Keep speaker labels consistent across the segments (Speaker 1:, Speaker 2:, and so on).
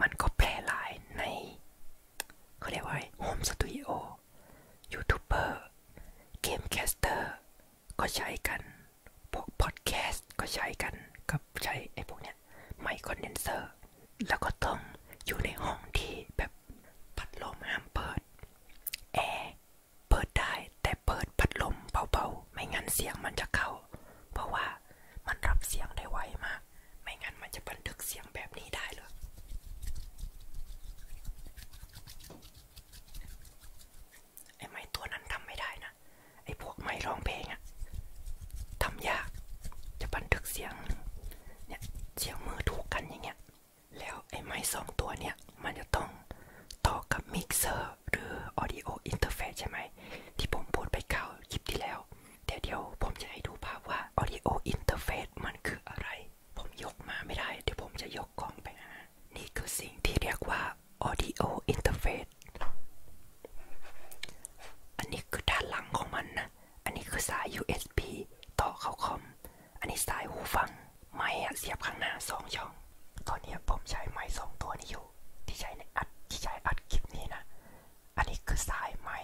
Speaker 1: มันก็แพรหลายในเขาเรียกว่าโฮมสตูดิโอยูทูบเบอร์เกมแคสเตอร์ก็ใช้กันพวกพอดแคสต์ก็ใช้กันก็ใช้ไอพวกเนี้ยไมคคอเดนเซอร์แล้วก็ต้องอยู่ในห้องที่แบบพัดลมห้ามเปิดแอร์เปิดได้แต่เปิดพัดลมเบาๆไม่งั้นเสียงมันจะเข้าเพราะว่ามันรับเสียงได้ไวมาก ไม่งั้นมันจะบันทึกเสียงแบบนี้ได้เลยไอ้ไม้ตัวนั้นทำไม่ได้นะ ไอ้พวกไม้ร้องเพลงอะทำยาก จะบันทึกเสียง เนี่ยเสียงมือถูกกันอย่างเงี้ย แล้วไอ้ไม้สองตัวเนี่ย มันจะต้องต่อกับมิกเซอร์หรือ Audio Interface ใช่ไหม ที่ผมพูดไปข่าวคลิปที่แล้วเดี๋ยวเดี๋ยวผมจะให้ดูภาพว่า Audio Interface มันคืออะไร ผมยกมาไม่ได้ เดี๋ยวผมจะยกกล้องไปนะนี่คือสิ่งที่เรียกว่า Audio Interface อันนี้คือด้านหลังของมันนะ อันนี้คือสาย USB ต่อเข้าคอม อันนี้สายหูฟัง ไม้เสียบข้างหน้าสองช่อง ตอนนี้ผมใช้ไม้สองตัวนี้อยู่ ที่ใช้ในอัด ที่ใช้อัดคลิปนี้นะอันนี้คือสายไม้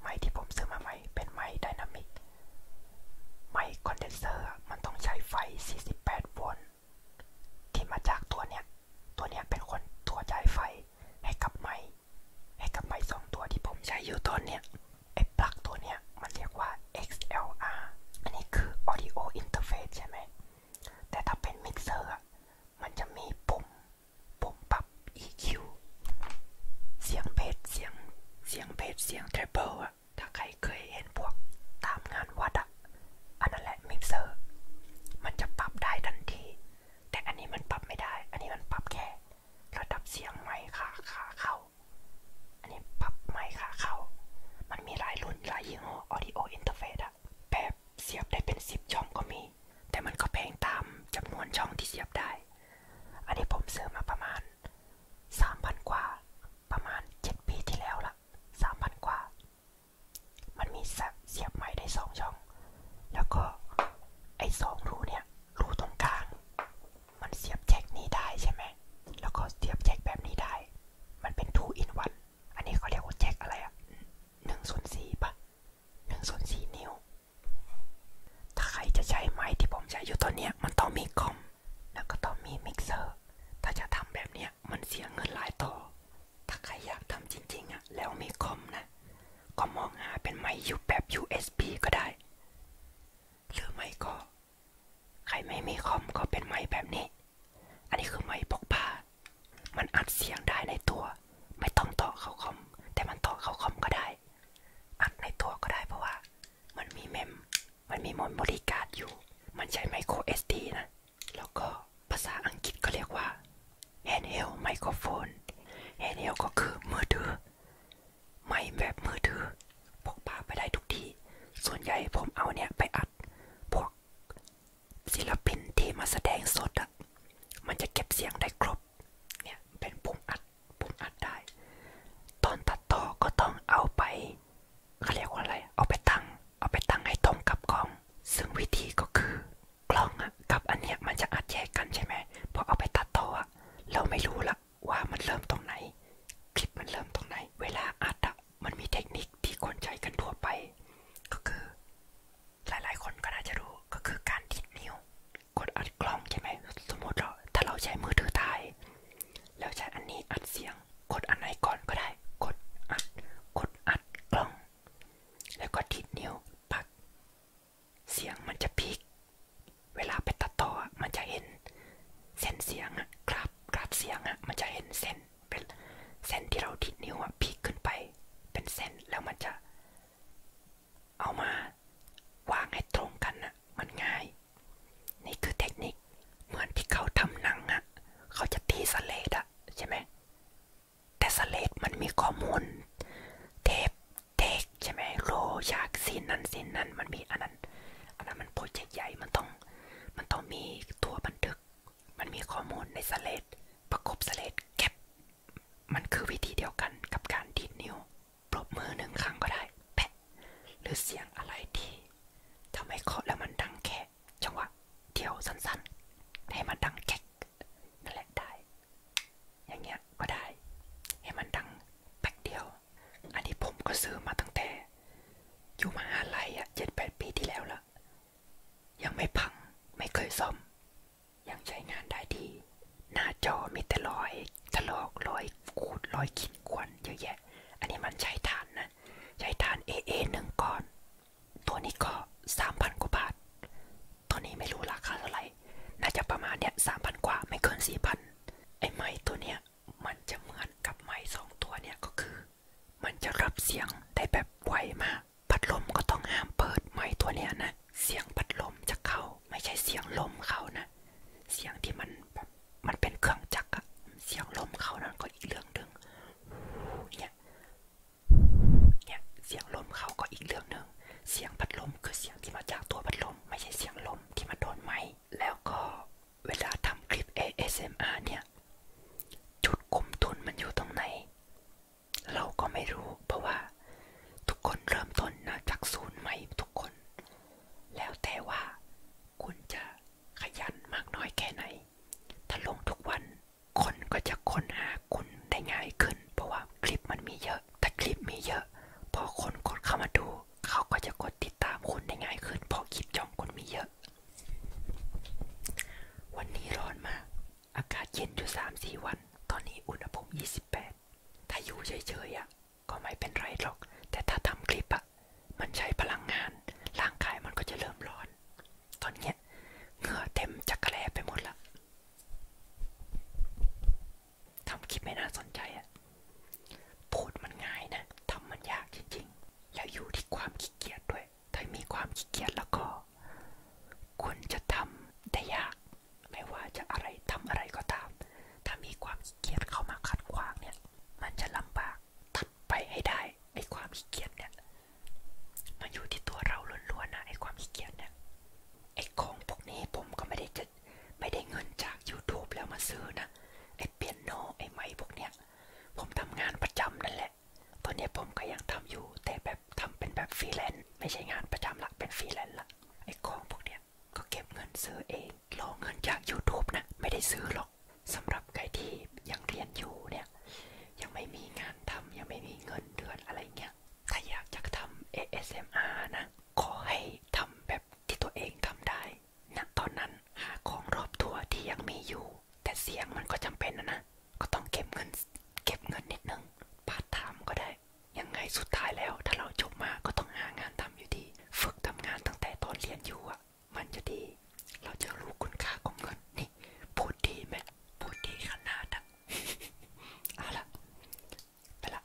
Speaker 1: ไม้ที่ผมซื้อมาใหม่เป็นไม้ไดนามิกไม้คอนเดนเซอร์มันต้องใช้ไฟ 48 โวลต์ที่มาจากตัวเนี้ยตัวเนี้ยเป็นคนตัวจ่ายไฟให้กับไม้ให้กับไม้สองตัวที่ผมใช้อยู่ตอนเนี้ยไอ้ปลั๊กตัวเนี้ย มันเรียกว่า XLR อันนี้คือ audio interface ใช่ไหมแต่ถ้าเป็นมิกเซอร์มันจะมีปุ่มผมปรับ EQ เสียงเพจเสียงเสียงเพจเสียงเทรเบิลอะถ้าใครเคยเห็นพวกตามงานวัดอะอันนั้นแหละมิกเซอร์ มันจะปรับได้ทันที แต่อันนี้มันปรับไม่ได้ อันนี้มันปรับแค่ระดับเสียงไม้ขาขาเข้า อันนี้ปรับไม้ขาเข้า มันมีหลายรุ่นหลายยี่ห้อ audio interface อะแปลบบเสียบได้เป็นสิบช่องก็มี แต่มันก็แพงตามจำนวนช่องที่เสียบได้ อันนี้ผมซื้อมาประมาณสามพันกว่า ประมาณเจ็ดปีที่แล้วละสามพันกว่า มันมีเสียบใหม่ได้สองช่อง แล้วก็ไอ้สองรูเนี่ยรูตรงกลาง มันเสียบแจ็คนี้ได้ใช่ไหมแล้วก็เสียบแจ็คแบบนี้ได้ มันเป็น two in one อันนี้เขาเรียกว่าแจ็อะไรอะหนึ่งส่วนสี่ปะหนึ่งส่วนสี่นิ้ว ถ้าใครจะใช้ไม้ที่ผมใช้อยู่ตอนเนี้ย มันต้องมีคอมแล้วก็ต้องมีมิกเซอร์ ถ้าจะทำแบบเนี้ย มันเสียเงินหลายต่อ ถ้าใครอยากทำจริงๆอะแล้วมีคอมนะ ก็มองหาเป็นไม้ยูแบบ USB ก็ได้ หรือไม่ก็ ใครไม่มีคอมก็เป็นไม้แบบนี้ อันนี้คือไม้พกพามันอัดเสียงได้ในตัวไม่ต้องต่อเข้าคอมแต่มันต่อเข้าคอมก็ได้ อัดในตัวก็ได้เพราะว่า มันมีเมม มันมีมอนบริการอยู่มันใช้ไมโคร SD นะแล้วก็ภาษาอังกฤษก็เรียกว่า handheld microphone handheld ก็คือมือถือไม่แบบมือถือพกพาไปได้ทุกที่ ส่วนใหญ่ผมเอาเนี่ยไปอัดศิลปินที่มาแสดงสด มันจะเก็บเสียงได้ครบ เนี่ย เป็นปุ่อัดปุ่อัดได้ ตอนตัดต่อก็ต้องเอาไปเขาเรียกว่าอะไร เอาไปตั้งเอาไปตั้งให้ตรงกับกอง ซึ่งวิธีก็คือกล้องอะกับอันเนี้ยมันจะอัดแยกกันใช่ไหมพอเอาไปตัดต่อเราไม่รู้ละว่ามันเริ่มตรงไหน คลิปมันเริ่มตรงไหน เวลาอัดอะมันมีเทคนิคที่คนใช้กันทั่วไป ก็คือ หลายๆคนก็น่าจะรู้ก็คือการดิดนิ้ว กดอัดกล้องใช่ไหมสมมติเราถ้าเราใช้มือถือถายแล้วใช้อันนี้อัดเสียงกดอันก่อนก็ได้ กดอัดกดอัดกล้อง แล้วก็ดิดนิ้วพักเสียงมันจะพีกเวลาไปตัดต่อมันจะเห็นเส้นเสียงอราฟกราฟเสียงอะมันจะเห็นเส้นเป็นเส้นที่เราดิดนิ้วอะพลกขึ้นไปเป็นเส้นแล้วมันจะเอามาวางให้ตรงกันนะมันง่ายนี่คือเทคนิคเหมือนที่เขาทำหนังอะเขาจะตีสเลดอะใช่ไหมแต่สเลดมันมีข้อมูลเทปเทคใช่ไหมโลฉากซีนนั้นซีนนั้นมันมีอันนั้นอันนั้นมันโปรเจกต์ใหญ่มันต้องมันต้องมีตัวบันทึกมันมีขอมูลในสเลดประกบสเลดแคป มันคือวิธีเดียวกันกับการดีดนิ้วปรบมือหนึ่งครั้งก็ได้ แปะหรือเสียงอะไรที่ทำให้เคาะแล้วมันดังแค่จังหวะเดียวสั้นๆ ให้มันดังแคกนัละได้ อย่างเงี้ย ก็ได้ ให้มันดังแป๊กเดียว อันนี้ผมก็ซื้อมาตั้งแต่อยู่มหาลัยอะเจ็ดแปดปีที่แล้วละยังไม่พังไม่เคยซ่อมยังใช้งานได้ดีหน้าจอมีแต่รอยถลอกรอยขูดรอยขีดข่วนเยอะแยะ อันนี้มันใช้ฐานนะ ใช้ฐาน AA หนึ่งก้อน ตัวนี้ก็สามพันกว่าบาทตัวนี้ไม่รู้ราคาเท่าไหร่น่าจะประมาณเนี้ยสามพันกว่าไม่เกินสี่พันไอ้ไม้ตัวเนี้ยมันจะเหมือนกับไม้สองตัวเนี่ยก็คือ มันจะรับเสียงได้แบบไวมากพัดลมก็ต้องห้ามเปิดไม้ตัวเนี้ยนะเสียงพัดลมจะเข้า ไม่ใช่เสียงลมเข้านะ เสียงที่มันแบบมันเป็นเครื่องจักรเสียงลมเข้านั้นก็อีกเรื่องหนึ่งเนี่ย เนี่ย เสียงลมเข้าก็อีกเรื่องหนึ่งเสียงพัดลมคือเสียงที่มาจากตัวพัดลมไม่ใช่เสียงลมที่มาโดนไม้แล้วก็เวลาทำคลิป ASMR เนี่ย จุดคุมทุนมันอยู่ตรงไหน เราก็ไม่รู้ เพราะว่าทุกคนเริ่มต้นนะจากศูนย์ใหม่ทุกคน แล้วแต่ว่าคุณจะขยันมากน้อยแค่ไหน ถ้าลงทุกวัน คนก็จะค้นหาคุณได้ง่ายขึ้น เพราะว่าคลิปมันมีเยอะแต่คลิปมีเยอะ พอคนกดเข้ามาดูเขาก็จะกดติดตามคุณได้ง่ายขึ้นเพราะคลิปย่องคนมีเยอะ วันนี้ร้อนมากอากาศเย็นอยู่สามสี่วัน ตอนนี้อุณหภูมิยี่สิบแปดถ้าอยู่เฉยๆอ่ะก็ไม่เป็นไรหรอก แต่ถ้าทำคลิปอ่ะมันใช้พลังงาน ร่างกายมันก็จะเริ่มร้อน ตอนเนี้ยเหงื่อเต็มจักระแลไปหมดละทำคลิปไม่น่าสนใจอ่ะพูดมันง่ายนะทำมันยากจริงๆ แล้วอยู่ที่ความขี้เกียจด้วย ถ้ามีความขี้เกียจแล้วก็คุณจะทำได้ยาก ไม่ว่าจะอะไรทำอะไรก็ตามถ้ามีความขี้เกียจเข้ามาขัดขวางเนี่ย มันจะลำบากตัดไปให้ได้ ไอ้ความขี้เกียจเนี่ยมันอยู่ที่ตัวเราล้วนๆนะ ไอ้ความขี้เกียจเนี่ย ไอ้ของพวกนี้ผมก็ไม่ได้จะไม่ได้เงินจาก y o u t u แล้วมาซื้อนะไอเปียโนไอไม้พวกเนี้ยผมทำงานประจำนั่นแหละตอนนี้ผมก็ยังทำอยู่แต่แบบทำเป็นแบบฟรีแลนซ์ไม่ใช่งานประจำหลักเป็นฟรีแลนซ์ละไอของพวกเนี้ยก็เก็บเงินซื้อเองรอเงินจาก y o u t u นะไม่ได้ซื้อหรอก สำหรับใครที่ยังเรียนอยู่เนี่ยยังไม่มีงานทำยังไม่มีเงินเดือนอะไรเงี้ยถ้าอยากจะทำเเออส็มอาร์นะขอให้ทำแบบที่ตัวเองทำได้ณตอนนั้นหาของรอบตัวที่ยังมีอยู่ แต่เสียงมันก็จำเป็นนะนะ ก็ต้องเก็บเงินเก็บเงินนิดนึงพาร์ทไทม์ก็ได้ ยังไงสุดท้ายแล้ว ถ้าเราจบมาก็ต้องหางานทำอยู่ดี ฝึกทำงานตั้งแต่ตอนเรียนอยู่อ่ะ มันจะดีเราจะรู้คุณค่าของเงินนี่พูดดีไหมพูดดีขนาดอ่ะเอาละไปละ